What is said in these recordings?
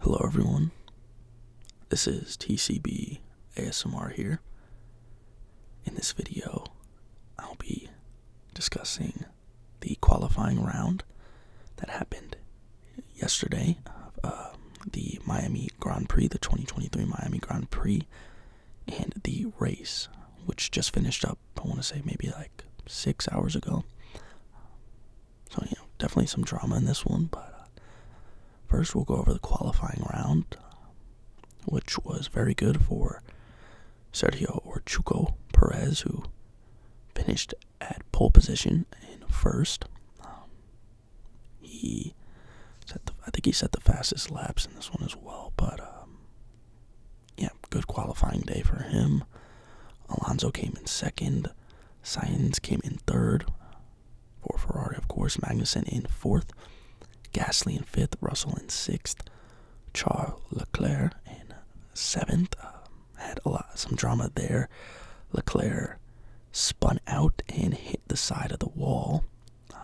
Hello everyone. This is TCB ASMR here. In this video, I'll be discussing the qualifying round that happened yesterday of um, the Miami Grand Prix, the 2023 Miami Grand Prix, and the race, which just finished up, I want to say maybe like six hours ago. So, you definitely some drama in this one, but uh, first we'll go over the qualifying round, which was very good for Sergio or Perez, who finished at pole position in first. Um, he set the, I think he set the fastest laps in this one as well, but um, yeah, good qualifying day for him. Alonso came in second. Sainz came in third for Ferrari, of course. Magnussen in fourth. Gasly in fifth. Russell in sixth. Charles Leclerc in seventh. Uh, had a lot, some drama there. Leclerc spun out and hit the side of the wall. Um,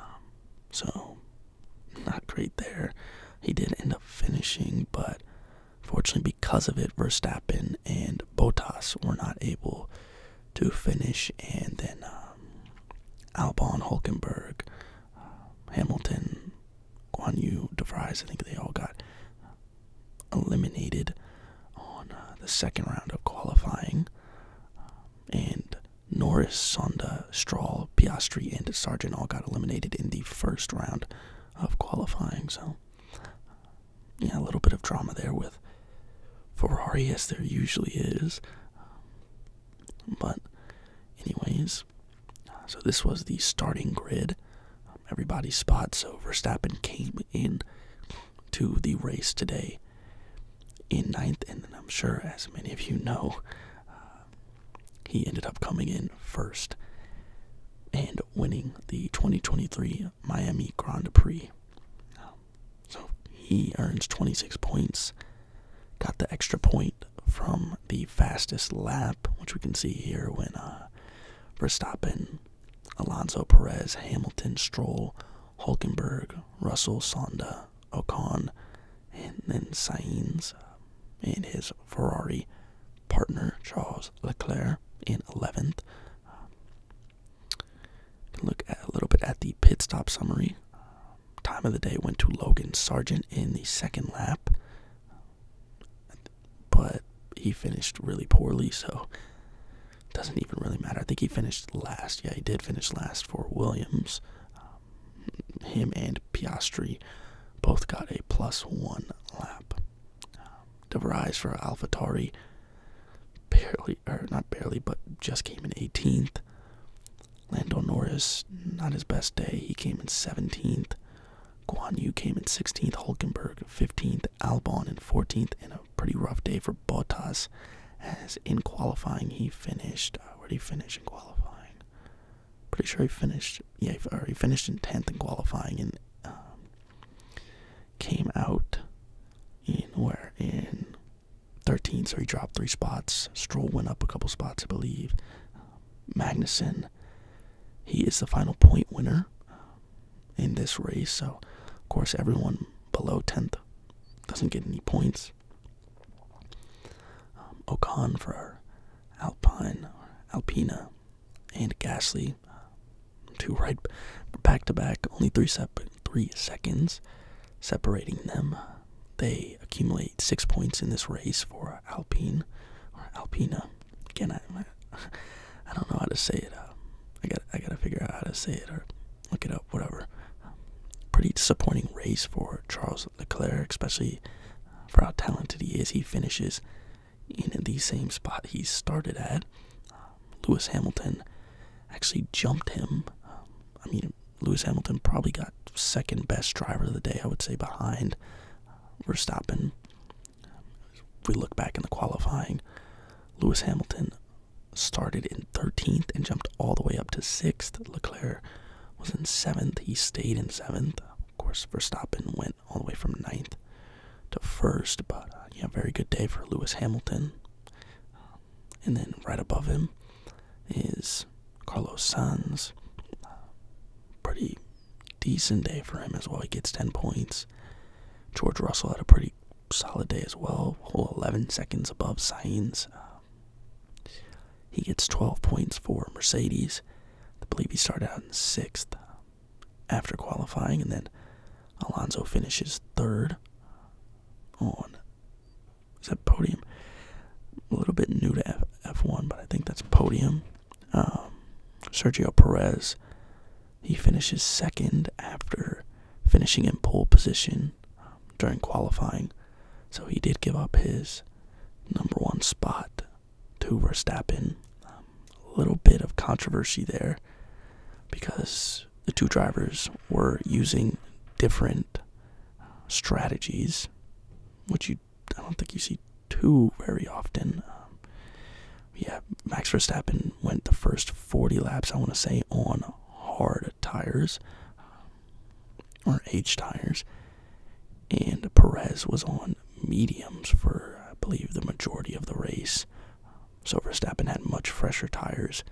so, not great there. He did end up finishing, but Fortunately, because of it, Verstappen and Bottas were not able to finish, and then um, Albon, Hulkenberg, uh, Hamilton, Guanyu, Yu, De Vries, I think they all got uh, eliminated on uh, the second round of qualifying. Um, and Norris, Sonda, Stroll, Piastri, and Sargent all got eliminated in the first round of qualifying. So, yeah, a little bit of drama there with Ferrari, as there usually is. But, anyways, so this was the starting grid, everybody's spot. So, Verstappen came in to the race today in ninth, and I'm sure, as many of you know, he ended up coming in first and winning the 2023 Miami Grand Prix. So he earns 26 points, got the extra point from the fastest lap, which we can see here when uh, Verstappen, Alonso Perez, Hamilton, Stroll, Hulkenberg, Russell, Sonda, Ocon, and then Sainz and his Ferrari partner Charles Leclerc in 11th. Um, can look at, a little bit at the pit stop summary. Um, time of the day went to Logan Sargent in the second lap, but he finished really poorly, so doesn't even really matter. I think he finished last. Yeah, he did finish last for Williams. Um, him and Piastri both got a plus one lap. Uh, De Vries for AlphaTauri barely, or not barely, but just came in 18th. Lando Norris, not his best day. He came in 17th. Guan Yu came in 16th. Hulkenberg 15th. Albon in 14th. And a pretty rough day for Bottas, as in qualifying he finished. Uh, where did he finish in qualifying? Pretty sure he finished. Yeah, he finished in tenth in qualifying and um, came out in where in thirteenth. So he dropped three spots. Stroll went up a couple spots, I believe. Magnuson, he is the final point winner um, in this race. So, of course, everyone below tenth doesn't get any points. Um, for Alpine, Alpina, and Gasly, um, two right back to back, only three, seconds separating them. They accumulate six points in this race for Alpine or Alpina. Again, I, don't know how to say it. Um, I gotta figure out how to say it or look it up whatever. pretty disappointing race for Charles Leclerc, especially for how talented he is. He finishes in the same spot he started at. Lewis Hamilton actually jumped him. I mean, Lewis Hamilton probably got second best driver of the day, I would say, behind Verstappen. If we look back in the qualifying, Lewis Hamilton started in 13th and jumped all the way up to 6th. Leclerc was in 7th. He stayed in 7th. Of course, Verstappen went all the way from ninth to 1st, but uh, yeah, very good day for Lewis Hamilton. Um, and then right above him is Carlos Sainz. Uh, pretty decent day for him as well. He gets 10 points. George Russell had a pretty solid day as well. 11 seconds above Sainz. Uh, he gets 12 points for Mercedes. I believe he started out in sixth after qualifying, and then Alonso finishes third on. Is that podium? A little bit new to F one but I think that's podium. Um, Sergio Perez, he finishes second after finishing in pole position during qualifying, so he did give up his number one spot to Verstappen. a um, little bit of controversy there because the two drivers were using different uh, strategies, which you I don't think you see too very often. Um, yeah, Max Verstappen went the first 40 laps, I want to say, on hard tires um, or H tires, and Perez was on mediums for, I believe, the majority of the race. So Verstappen had much fresher tires.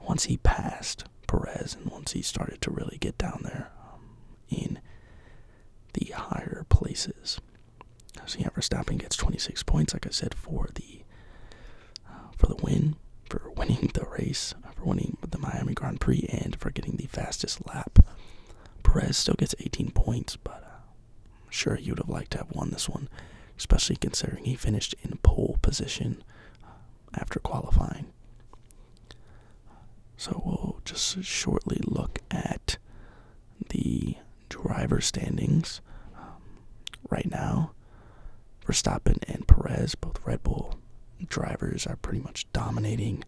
Once he passed Perez and once he started to really get down there um, in the higher places. So yeah, Verstappen gets 26 points, like I said, for the for the win, for winning the race, for winning the Miami Grand Prix, and for getting the fastest lap. Perez still gets 18 points, but uh, I'm sure you would have liked to have won this one, especially considering he finished in pole position uh, after qualifying. So we'll just shortly look at the driver standings. Um, right now, Verstappen and Perez, both Red Bull drivers, are pretty much dominating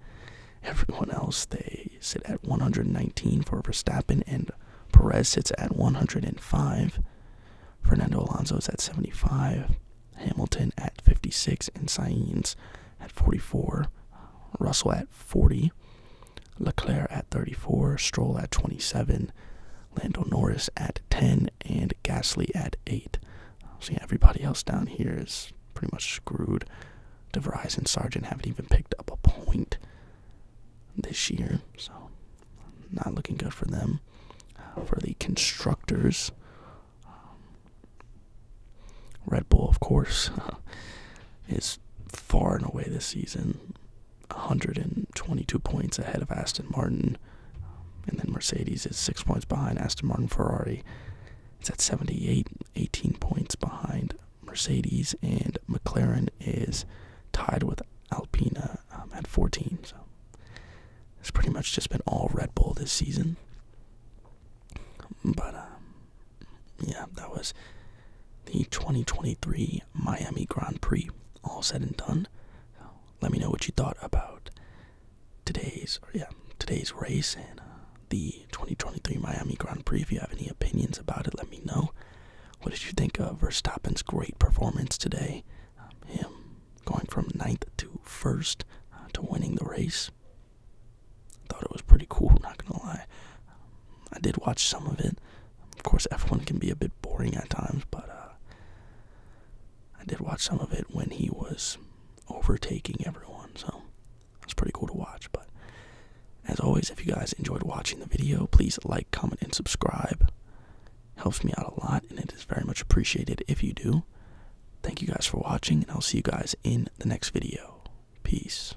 everyone else. They sit at 119 for Verstappen, and Perez sits at 105. Fernando Alonso is at 75, Hamilton at 56, and Sainz at 44, Russell at 40. Leclerc at 34, Stroll at 27, Lando Norris at 10, and Gasly at 8. So everybody else down here is pretty much screwed. DeVries Verizon Sargent haven't even picked up a point this year, so not looking good for them. Uh, for the constructors, um, Red Bull, of course, is far and away this season 122 points ahead of Aston Martin. And then Mercedes is six points behind Aston Martin. Ferrari it's at 78, 18 points behind Mercedes. And McLaren is tied with Alpina um, at 14. So it's pretty much just been all Red Bull this season. But, um, yeah, that was the 2023 Miami Grand Prix. All said and done, let me know what you thought about today's yeah today's race and uh, the 2023 Miami Grand Prix. If you have any opinions about it, let me know. What did you think of Verstappen's great performance today? him going from ninth to first uh, to winning the race. Thought it was pretty cool. Not gonna lie, I did watch some of it. Of course, F1 can be a bit boring at times, but uh, I did watch some of it when he was overtaking everyone, so it's pretty cool to watch. But as always, if you guys enjoyed watching the video, please like, comment, and subscribe. It helps me out a lot, and it is very much appreciated if you do. Thank you guys for watching, and I'll see you guys in the next video. Peace.